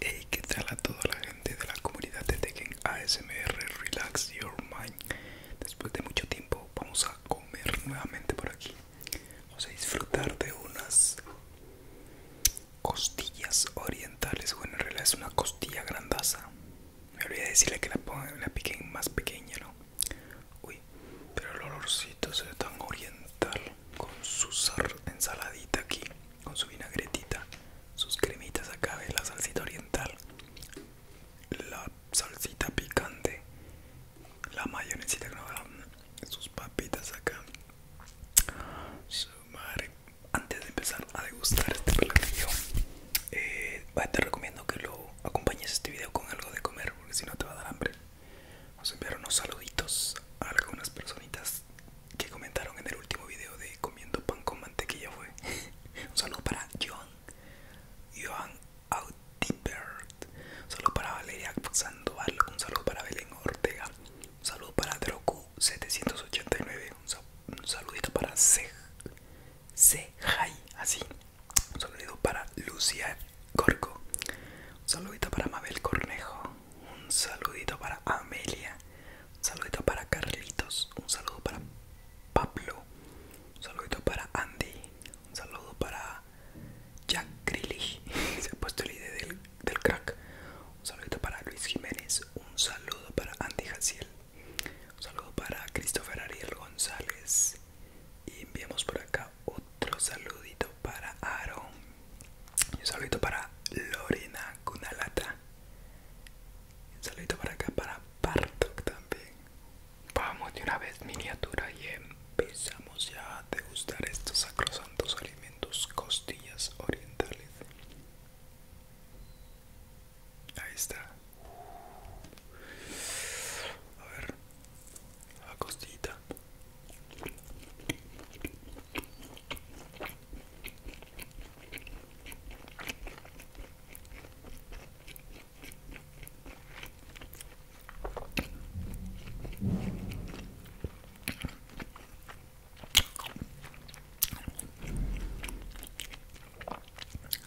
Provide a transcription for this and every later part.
Hey, ¿qué tal a toda la gente de la comunidad de Tekken ASMR? Relax your mind. Después de mucho tiempo vamos a comer nuevamente por aquí. Vamos a disfrutar de unas costillas orientales. Bueno, en realidad es una costilla grandaza. Me olvidé decirle que la, piquen más pequeña, ¿no? Uy, pero el olorcito se tan oriental con su ensaladita aquí, con su vinagretita, sus cremitas acá, ¿ves? la salsita oriental, la salsita picante, la mayonesita, no, sus papitas acá su madre antes de empezar a degustar este platillo eh, pues, te recomiendo que lo acompañes este video con algo de comer porque si no te va a dar hambre nos enviar unos saluditos a algunas personitas que comentaron en el último video de comiendo pan con mantequilla fue un saludo para Joan Joan Timbert Un saludo para Valeria Sandoval. Un saludo para Belén Ortega. Un saludo para Droku789. Un, saludito para C Así. Un saludito para Lucia Corco. Un saludito para Mabel Cornejo. Un saludito para Amelia. Un saludito para Carlitos. Un saludo para Pablo. Un saludito para Andy. Un saludo para Jack Grilly se ha puesto el ID del, crack un saludo para Luis Jiménez un saludo para Andy Hassiel. un saludo para Christopher Ariel González y enviamos por acá otro saludito para Aaron un saludito para Lorena Cunalata un saludito para acá para Bartok también Vamos de una vez miniatura y empezamos ya a degustar estos sacrosantos alimentos costillas orientales. Ahí está. A ver, la costillita.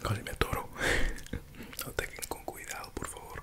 Casi me atoro. queden con cuidado, por favor.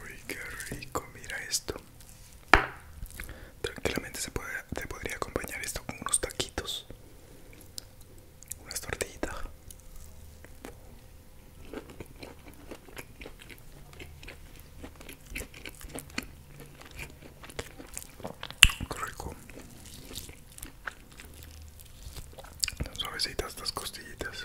Uy, qué rico, mira esto. Tranquilamente se puede te podría acompañar esto con unos taquitos, unas tortillitas. rico. suavecitas estas costillitas.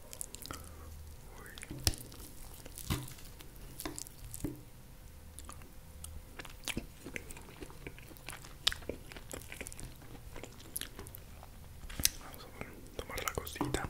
Vamos a tomar la cosita.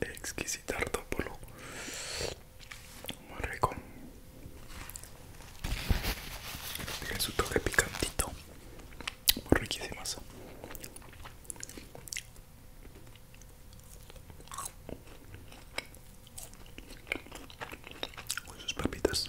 Exquisito artópolo muy rico tiene su toque picantito muy riquísimas papitas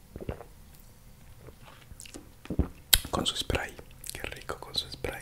Con su spray, qué rico con su spray.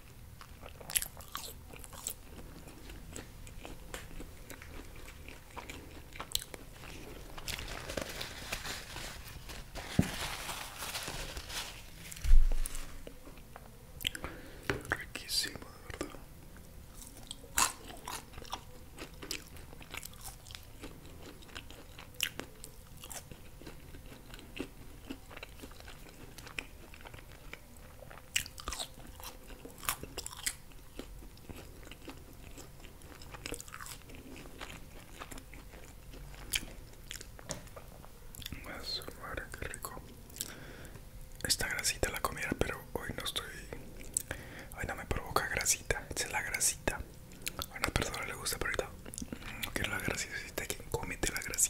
Riquísimo, de verdad. Más madre, qué rico. Esta grasita la comiera, pero hoy no estoy. Hoy no me provoca grasita. es la grasita. A una persona le gusta, pero ahorita no mm, quiero la grasita. Si te comete la grasita.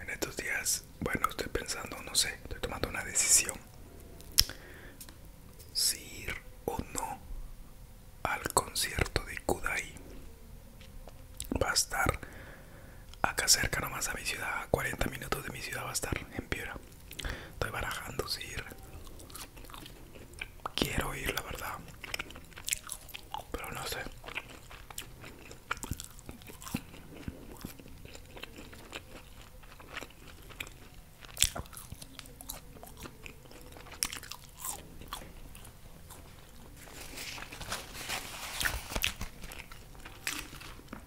En estos días, bueno, estoy pensando, no sé, estoy tomando una decisión. Si ir o no al concierto de Kudai. Va a estar acá cerca nomás a mi ciudad, a 40 minutos de mi ciudad va a estar en Piura. Estoy barajando si Quiero ir, la verdad. Pero no sé.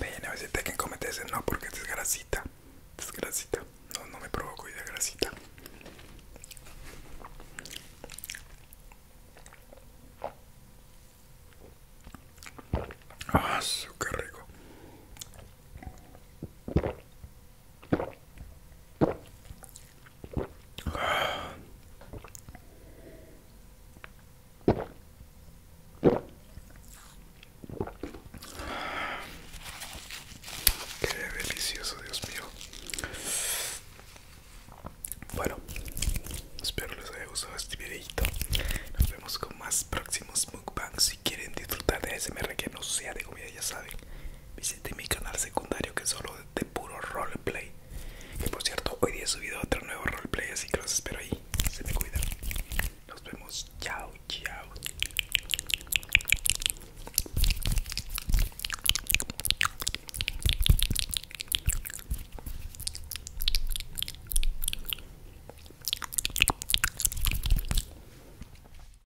Bien, a veces te que ese no, porque es grasita. Es grasita. No, no me provoco y de grasita. Ah, su qué rico. Qué delicioso, Dios mío. Bueno, espero les haya gustado este videito. Nos vemos con más próximos mukbangs. Si quieren disfrutar de ASMR que no sea de comida, ya saben, Visite mi canal secundario que es solo de puro roleplay. Que por cierto, hoy día he subido otro nuevo roleplay, así que los espero ahí. Se me cuidan. Nos vemos. Chao, chao.